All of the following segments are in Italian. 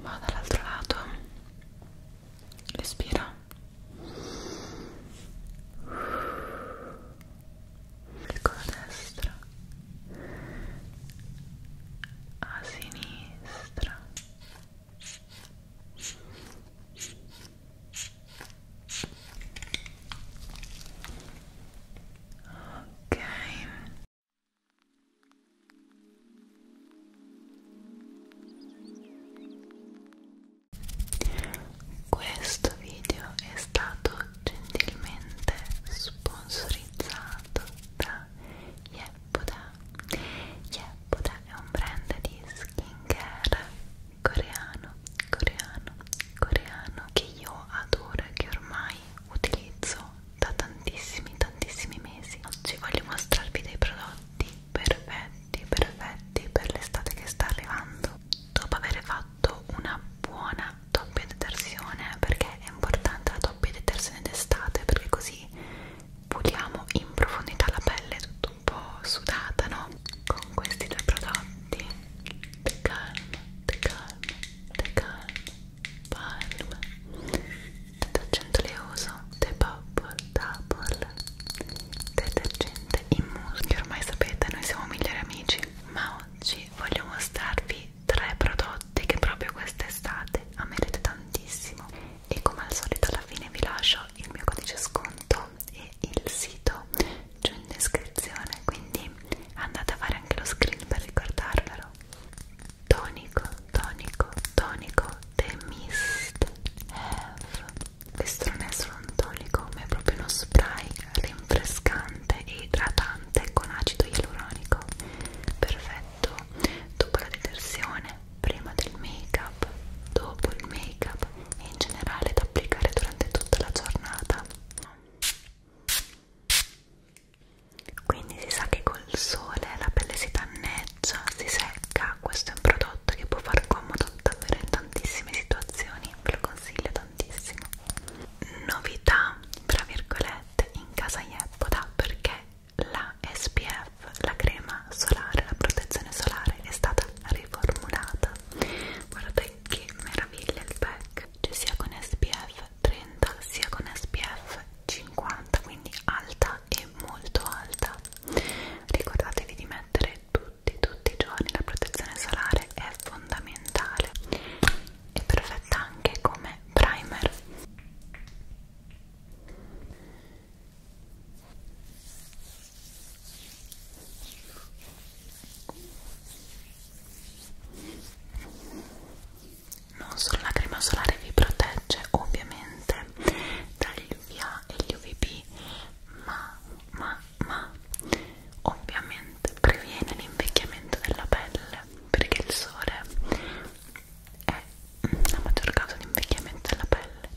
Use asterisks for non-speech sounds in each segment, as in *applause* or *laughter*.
va dall'altro lato respira con la destra a sinistra ok questo video è stato gentilmente sponsorizzato da Yeppoda. Yeppoda è un brand di skincare coreano, coreano, coreano che io adoro e che ormai utilizzo da tantissimi tantissimi mesi oggi voglio mostrarvi dei prodotti perfetti perfetti per l'estate che sta arrivando dopo aver fatto una buona doppia detersione perché è importante la doppia detersione d'estate perché così puliamo in profondità la pelle tutto un po' sudata no? con questi due prodotti The Calm The Calm The Calm palm, detergente oleoso, the bubble, double, detergente in muschio. Ormai sapete, noi siamo migliori amici, ma oggi voglio mostrarvi tre prodotti che proprio quest'estate amerete tantissimo. E come al solito alla fine vi lascio il mio codice sconto e il sito giù in descrizione, quindi andate a fare anche lo screen per ricordarvelo Zero Tonico, tonico, tonico The Mist Have Questo non è solo un tonico ma è proprio uno spray rinfrescante e idratante con acido ialuronico Perfetto dopo la detersione, prima del make up, dopo il make up e in generale da applicare durante tutta la giornata quindi si sa che col sole la pelle si danneggia, si secca, questo è un prodotto che può far comodo davvero in tantissime situazioni, ve lo consiglio tantissimo. Novità, tra virgolette, in casa Yeppoda perché la SPF, la crema solare, la protezione solare è stata riformulata. Guardate che meraviglia il pack, c'è cioè sia con SPF 30 sia con SPF 50, quindi alta alta e molto alta ricordatevi di mettere tutti tutti i giorni la protezione solare è fondamentale è perfetta anche come primer non solo la crema solare vi protegge ovviamente dagli UVA e gli UVB ma, ma, ma ovviamente previene l'invecchiamento della pelle perché il sole è la maggior causa di invecchiamento della pelle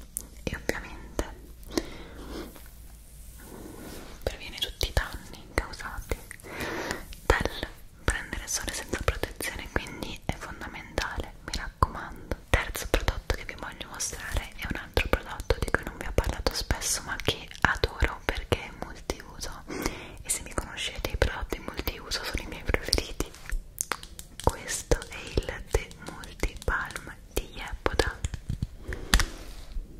e ovviamente previene tutti i danni causati dal prendere sole senza protezione quindi è fondamentale mi raccomando terzo prodotto che vi voglio mostrare è un altro prodotto di cui non vi ho parlato spesso ma che adoro perché è multiuso e se mi conoscete i prodotti multiuso sono i miei preferiti questo è il The Multi Palm di Yepoda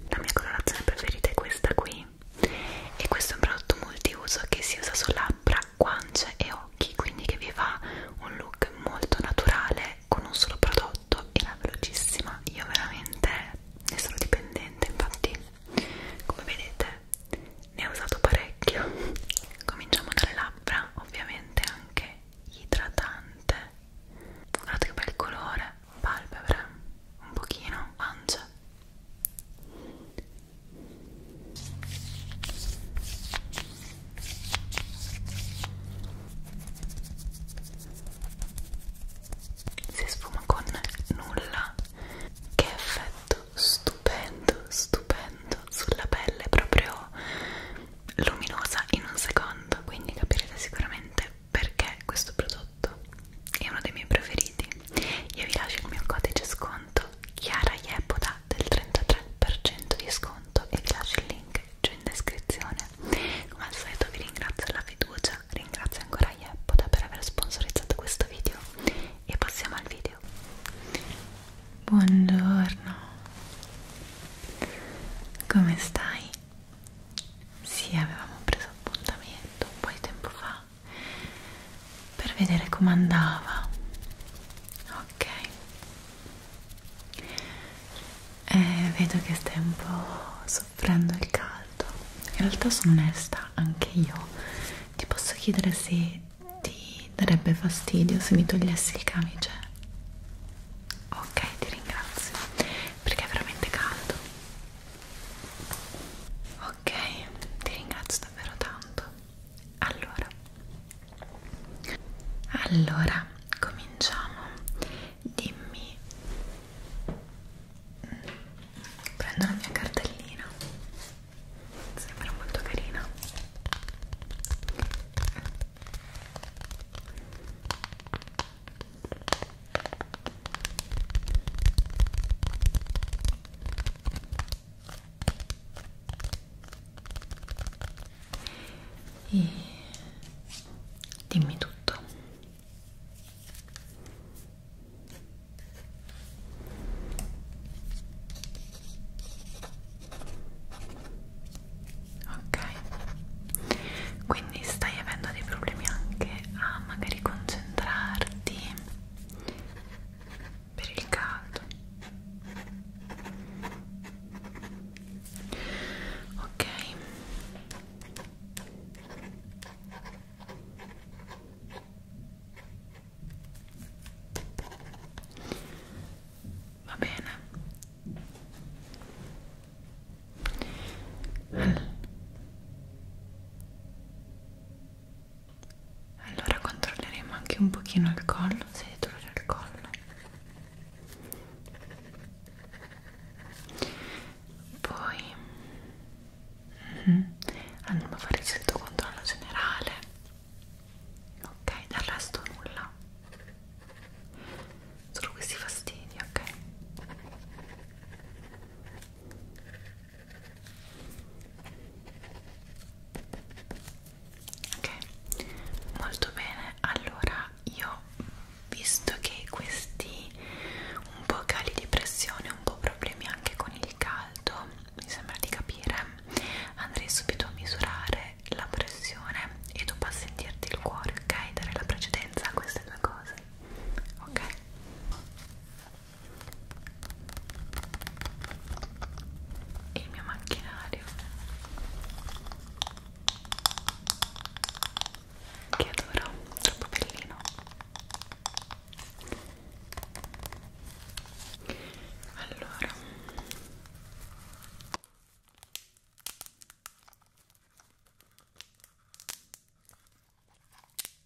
la mia colorazione preferita è questa qui e questo è un prodotto multiuso che si usa su labbra guance e occhi quindi che vi fa un look molto naturale con un solo prodotto e la velocissima io veramente ne sono dipendente infatti come vedete ne ho usato parecchio *laughs* cominciamo dalle labbra ovviamente anche idratante guardate che bel colore palpebre un pochino guance si sfuma con nulla che effetto stupendo stupendo sulla pelle proprio luminosa in un secondo quindi capirete sicuramente perché questo prodotto è uno dei miei preferiti io vi lascio il mio codice sconto conto Chiara Iepoda del 33% di sconto e vi lascio il link giù in descrizione. Come al solito vi ringrazio della fiducia, ringrazio ancora Iepoda per aver sponsorizzato questo video e passiamo al video. Buongiorno, come stai? Sì, avevamo preso appuntamento un po' di tempo fa là per vedere come andava ok eh, vedo che stai un po' soffrendo il caldo in realtà sono onesta anche io ti posso chiedere se ti darebbe fastidio se mi togliessi il camice ok ti ringrazio perché è veramente caldo ok ti ringrazio davvero tanto allora allora cominciamo dimmi prendo la mia cartellina sembra molto carina e dimmi tutto ok quindi stai avendo dei problemi anche a magari concentrarti per il caldo ok va bene allora allora controlleremo anche un pochino il collo se dolore al collo poi mm -hmm, andiamo a fare il solito controllo generale ok del resto nulla solo questi fastidi ok Ok, molto bene. Allora, io visto che questi un po' cali di pressione, un po' problemi anche con il caldo, mi sembra di capire, andrei subito a misurare la pressione e tu a sentirti il cuore, ok? Dare la precedenza a queste due cose, ok? e il mio macchinario che adoro, troppo bellino allora Okay.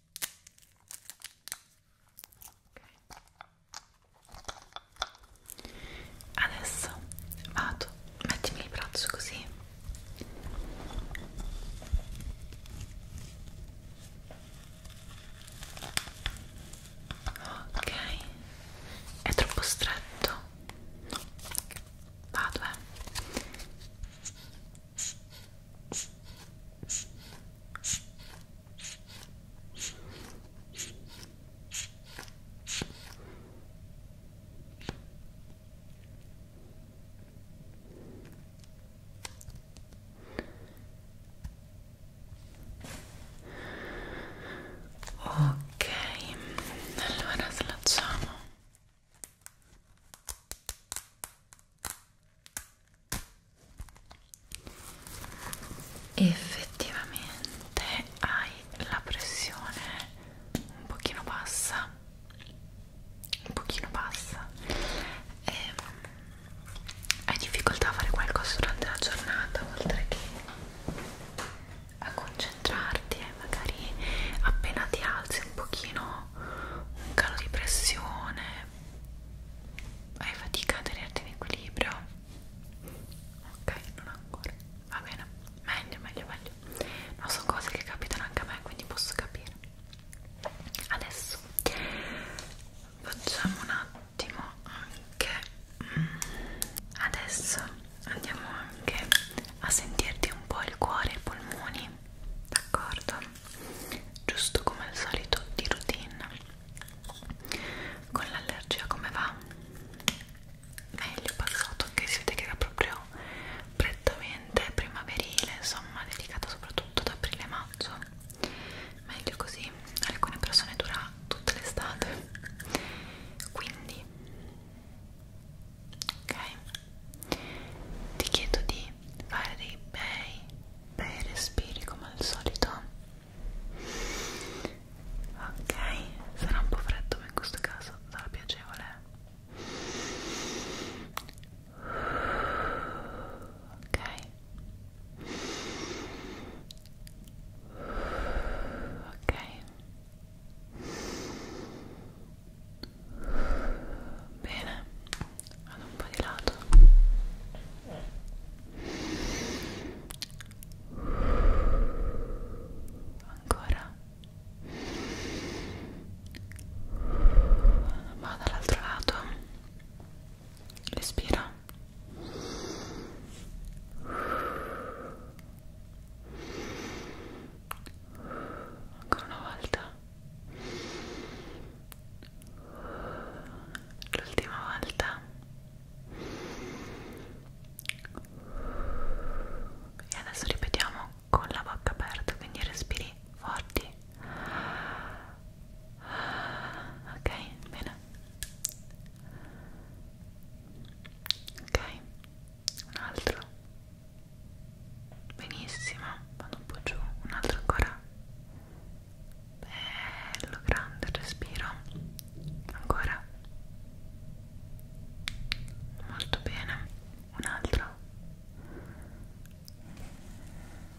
Adesso vado, mettimi il braccio così. Ok, è troppo stretto. No. Vado, eh. Ok, allora slacciamo effettivamente hai la pressione un pochino bassa un pochino bassa e ehm, hai difficoltà a fare qualcosa durante la giornata oltre che a concentrarti e eh, magari appena ti alzi un pochino un calo di pressione hai fatica a tenerti in equilibrio ok non ancora va bene meglio meglio meglio ma no, sono cose che capitano anche a me quindi posso capire adesso facciamo un attimo anche mm, adesso andiamo anche a sentirti un po' il cuore e i polmoni d'accordo giusto come al solito di routine con l'allergia come va? meglio passato che si vede che era proprio prettamente primaverile insomma dedicata soprattutto ad aprile e maggio meglio così alcune persone dura tutta l'estate quindi ok ti chiedo di fare dei bei Beh, respiri come al solito. Ok, sarà un po' freddo, ma in questo caso sarà piacevole. Ok. Ok. Bene vado un po' di lato ancora vado dall'altro lato respira ancora una volta l'ultima volta e adesso ripetiamo con la bocca aperta quindi respiri forti ok bene ok un altro benissimo vado un po' giù un altro ancora bello grande il respiro ancora molto bene un altro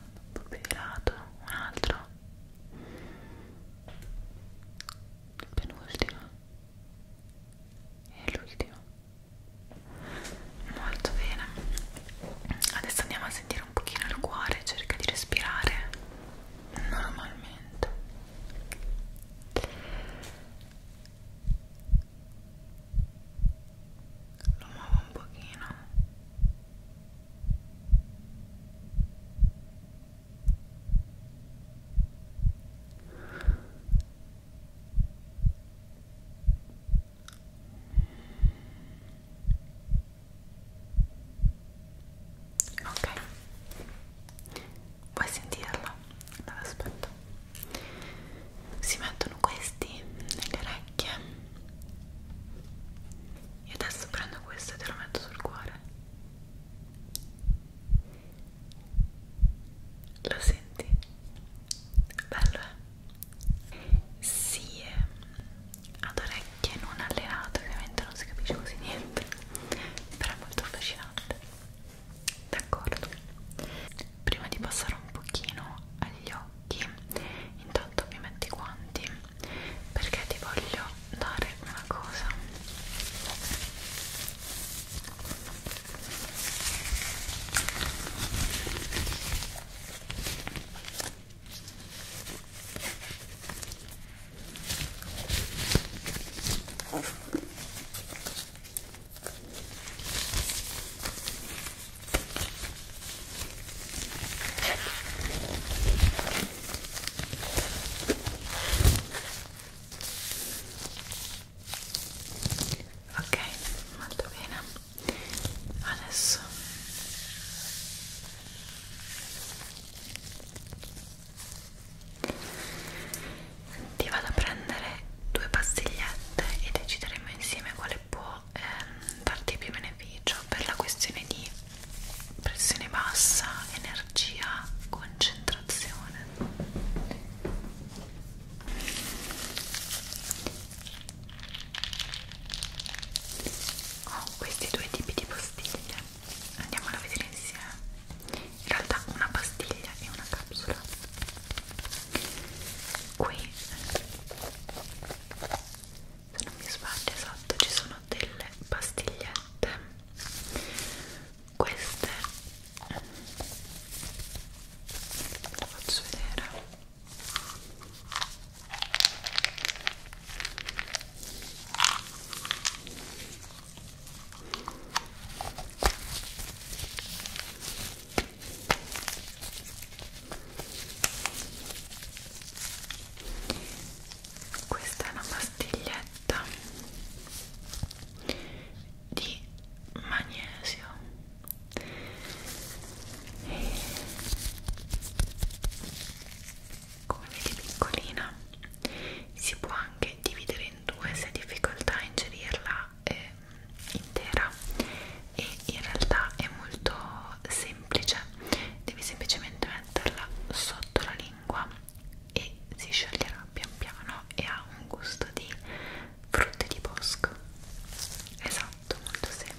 un po' più di lato un altro il penultimo e l'ultimo molto bene adesso andiamo a sentire aprire un pochino il cuore, cerca di respirare normalmente. Lo muovo un pochino ok vuoi sentirla? allora aspetta si mettono questi nelle orecchie e adesso prendo questo e te lo metto sul cuore lo senti? bello eh? sì, eh, ad orecchie non allenate ovviamente non si capisce quasi niente però è molto affascinante d'accordo prima di passare un pochino agli occhi intanto mi metti i guanti perché ti voglio dare una cosa Ok, molto bene adesso ti vado a prendere due pastigliette e decideremo insieme quale può ehm, darti più beneficio per la questione di pressione bassa, energia, concentrazione ho questi due tipi di pastiglie andiamola a vedere insieme in realtà una pastiglia e una capsula qui se non mi sbaglio esatto ci sono delle pastigliette queste lo faccio vedere questa è una pastiglietta di magnesio come vedi piccolina si può anche dividere in due se hai difficoltà a ingerirla eh, intera e in realtà è molto semplice devi semplicemente metterla sotto la lingua e si scioglierà pian piano e ha un gusto di frutte di bosco esatto molto semplice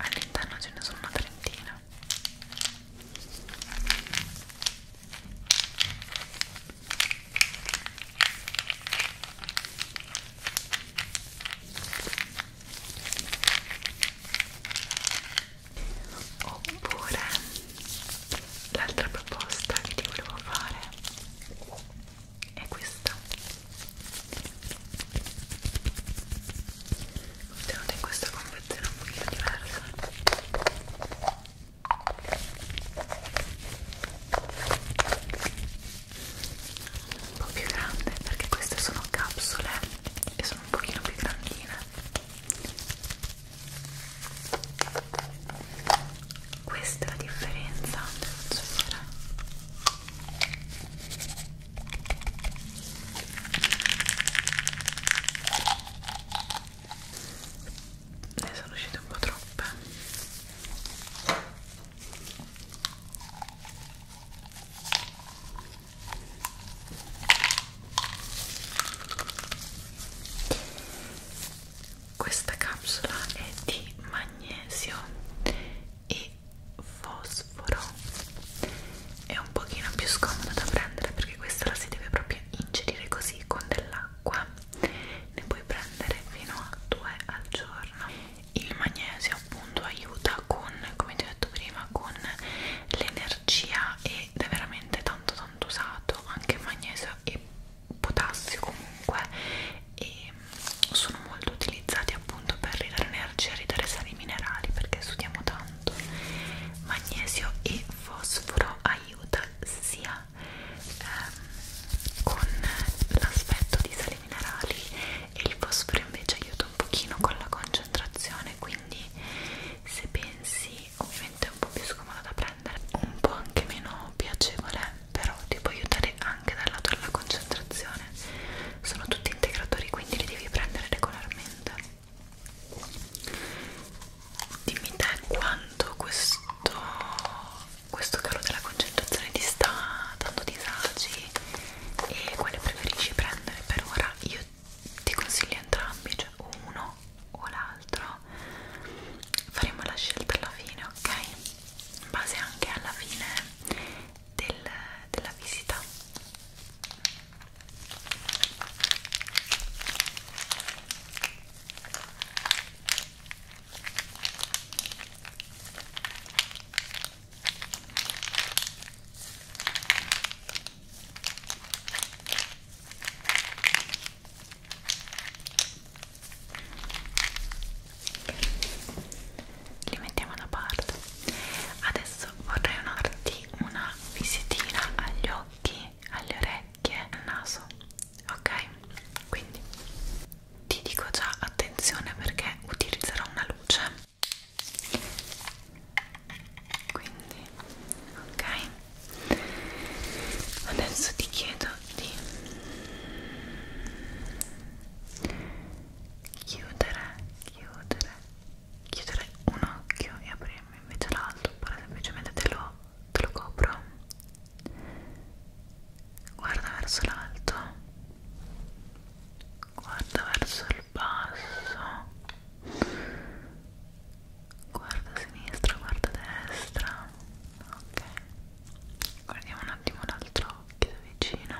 all'interno ce ne sono una trentina oppure l'altra proposta che ti volevo fare è questa contenuta in questa confezione un pochino diversa un po' più grande perché queste sono capsule e sono un pochino più grandine questa è la differenza, devo ne eh, sono uscite un po' troppe questa capsula è di magnesio e fosforo è un pochino più scomodo da prendere perché questa la si deve proprio ingerire così con dell'acqua ne puoi prendere fino a due al giorno il magnesio appunto aiuta con come ti ho detto prima con l'energia ed è veramente tanto tanto usato anche magnesio e potassio comunque e sono molto utilizzati utilizzati appunto per ridare energia, ridare sali minerali perché studiamo tanto. Magnesio e fosforo aiuta sia ehm, con l'aspetto di sali minerali e il fosforo invece aiuta un pochino con la concentrazione, quindi se pensi ovviamente è un po' più scomodo da prendere, un po' anche meno piacevole, però ti può aiutare anche dal lato della concentrazione sono tutti integratori quindi li devi prendere regolarmente dimmi te quanto questo questo calo della concentrazione ti sta dando disagi e quale preferisci prendere per ora io ti consiglio entrambi cioè uno o l'altro faremo la scelta alla fine ok in base anche alla fine del, della visita li mettiamo da parte adesso vorrei unarti una visitina agli occhi alle orecchie al naso ok quindi ti dico già attenzione perché utilizzerò una luce quindi ok adesso ti chiedo di chiudere, chiudere, chiudere un occhio e aprirmi invece l'altro oppure semplicemente te lo, te lo copro guarda verso l'alto guarda verso il basso guarda a sinistra, guarda a destra ok guardiamo un attimo l'altro occhio da vicino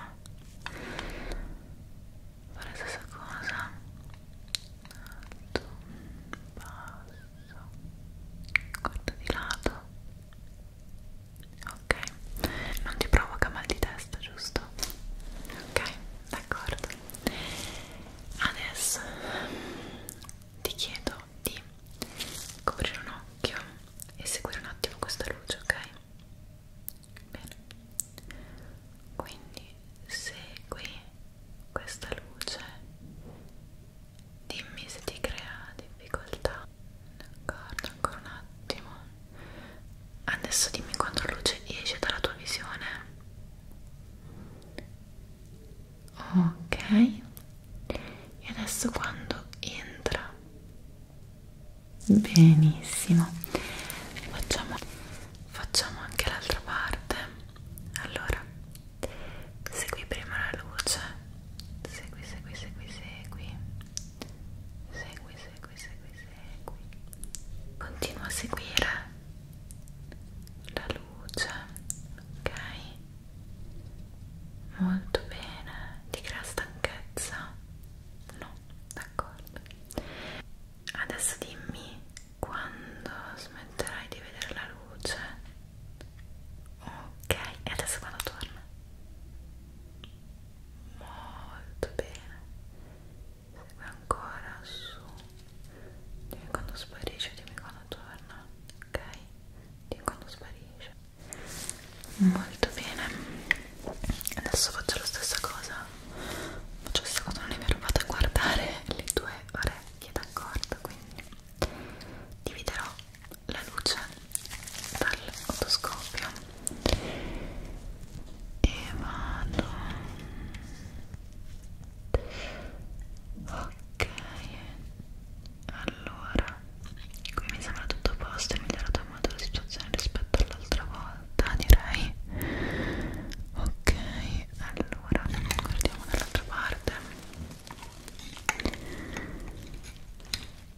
fare la stessa cosa alto, basso guarda di lato ok non ti provoca mal di testa giusto? ok d'accordo adesso ti chiedo di coprire un occhio e seguire un attimo questa luce ok? bene quindi segui questa luce dimmi se ti crea difficoltà d'accordo ancora un attimo adesso dimmi quanto luce esce dalla tua visione ok e adesso quando entra benissimo facciamo, facciamo anche l'altra parte allora segui prima la luce segui segui segui segui segui segui segui segui continua a seguire la luce ok molto bene ti crea stanchezza no d'accordo? Adesso dimmi quando smetterai di vedere la luce. Ok, e adesso quando torna? Molto bene. Segue ancora su. Dimmi quando sparisce, dimmi quando torna. Ok? Dimmi quando sparisce molto bene adesso faccio la stessa cosa faccio questa cosa non è mi rubato a guardare le tue orecchie d'accordo quindi dividerò la luce dall'otoscopio e vado ok allora qui mi sembra tutto a posto è migliorato calmata la situazione rispetto all'altra volta direi ok allora guardiamo dall'altra parte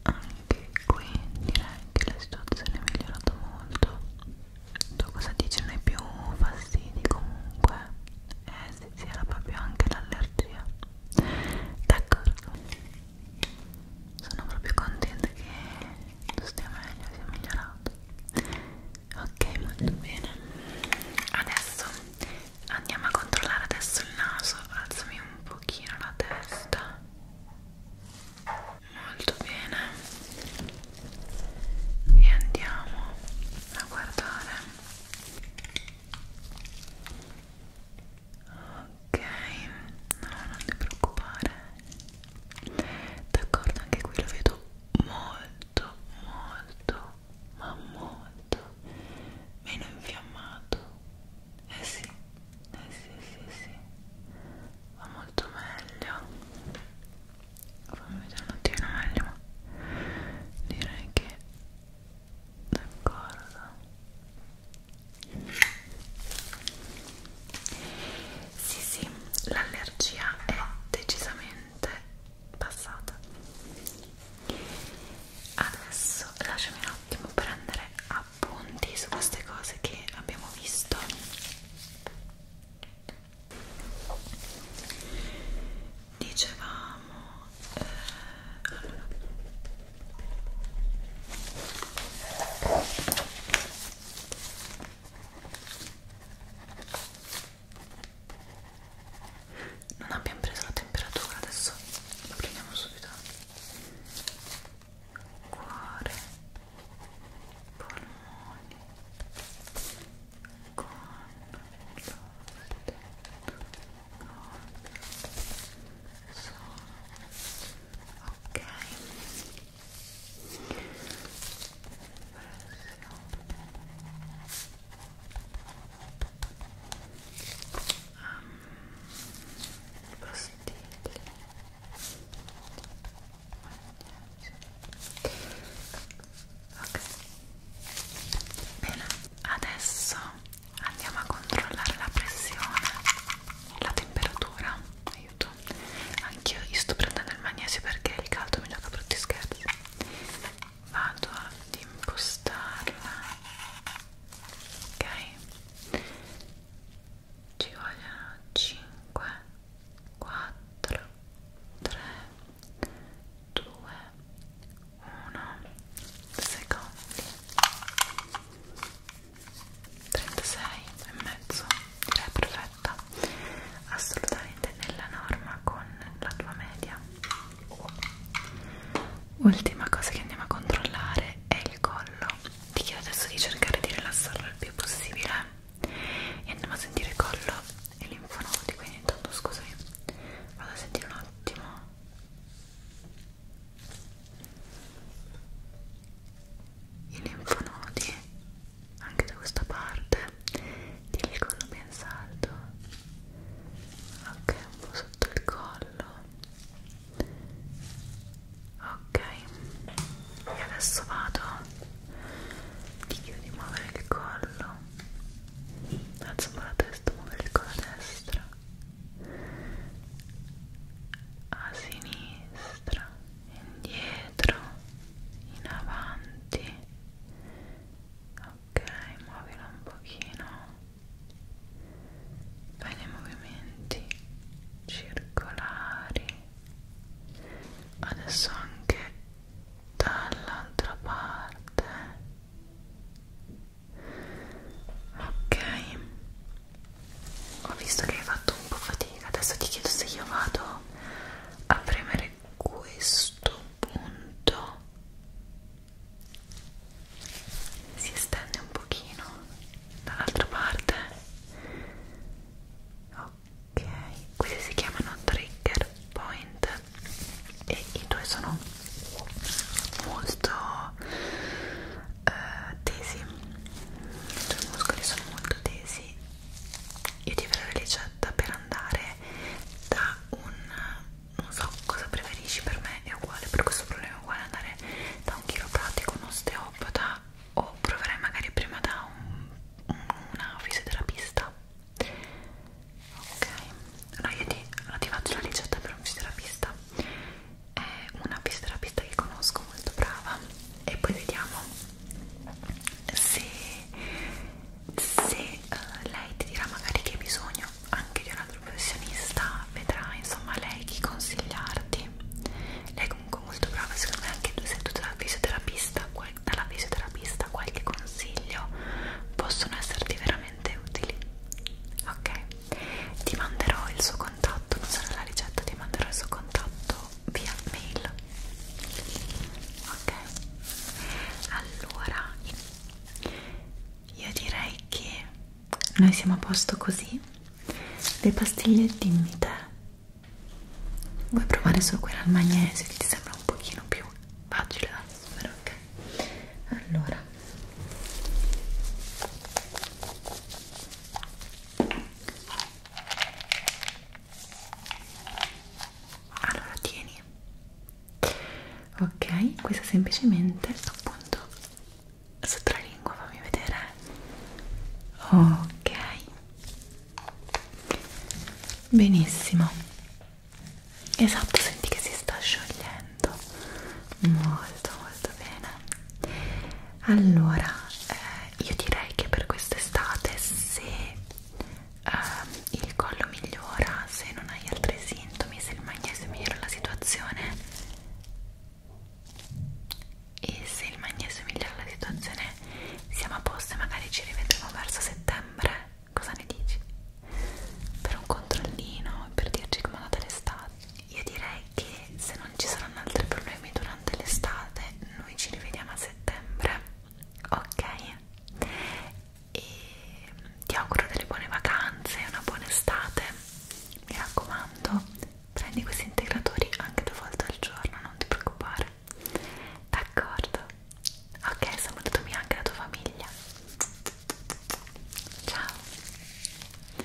anche qui direi che la situazione è migliorata molto tu cosa dici non hai più fastidi comunque eh sì sì era proprio anche l'allergia d'accordo sono proprio contenta che tu stia meglio, sia migliorato ok molto bene adesso andiamo a controllare adesso il naso alzami un pochino la testa molto bene e andiamo a guardare Ok, no, non ti preoccupare. D'accordo, anche qui lo vedo molto, molto, ma molto meno infiammato. Eh sì, eh sì, sì, sì. Va molto meglio. Fammi vedere un attimo meglio, ma direi che d'accordo sì, sì, l'allergia è decisamente passata. Adesso lasciami un attimo prendere appunti su queste cose che abbiamo visto. Dicevamo eh, allora non abbiamo preso la temperatura, adesso la prendiamo subito. Cuore, polmoni, con l'oste, con sono ok um, pastiglie ok bene adesso andiamo a controllare la pressione la temperatura aiuto anch'io io sto prendendo il magnesio perché il caldo mi gioca brutti scherzi vado ad impostarla ok ci vogliono 5 4 3 2 1 secondi 36 e mezzo è cioè, perfetta assolutamente nella norma con la tua media ultima cosa che andiamo a controllare è il collo ti chiedo adesso di cercare di rilassarlo il più possibile e andiamo a sentire il collo e linfonodi quindi intanto scusami vado a sentire un attimo i linfonodi anche da questa parte tieni il collo ben saldo ok un po' sotto il collo ok e adesso vado ti chiedo di muovere il collo alzo un po' la testa muovere il collo a destra a sinistra, indietro, in avanti. Ok, muovila un pochino. Fai dei movimenti circolari. Adesso anche dall'altra parte ok ho visto che hai fatto un po' fatica adesso ti chiedo se io vado a premere questo punto si estende un pochino dall'altra parte ok questi si chiamano trigger point e i due sono molto eh, tesi i tuoi muscoli sono molto tesi io ti farò la ricetta per andare da un non so cosa preferisci per me è uguale per questo problema è uguale andare da un chiropratico un osteopata o proverai magari prima da un, una fisioterapista ok allora io ti, allora ti faccio la ricetta per un fisioterapista è una fisioterapista che conosco molto brava e poi vediamo se, se uh, lei ti dirà magari che hai bisogno anche di un altro professionista vedrà insomma lei chi consigliarti lei è comunque molto brava secondo me anche se tu dalla fisioterapista dalla fisioterapista qualche consiglio possono esserti veramente utili ok ti manderò il suo contatto, non sarà la ricetta, ti manderò il suo contatto via mail ok allora io direi che noi siamo a posto così le pastiglie dimmi te vuoi provare solo quella al magnesio che ti sembra un pochino più facile da assumere ok allora allora tieni ok questa semplicemente appunto sotto la lingua fammi vedere ok benissimo esatto senti che si sta sciogliendo molto molto bene allora eh, io direi che per quest'estate se eh, il collo migliora se non hai altri sintomi se il magnesio migliora la situazione e se il magnesio migliora la situazione siamo a posto e magari ci rivedremo verso settembre cosa ne dici? per un controllino per dirci come è andata l'estate io direi che se non ci saranno altri problemi durante l'estate noi ci rivediamo a settembre ok e ti auguro delle buone vacanze una buona estate mi raccomando prendi questi integratori anche due volte al giorno non ti preoccupare d'accordo ok salutami anche la tua famiglia ciao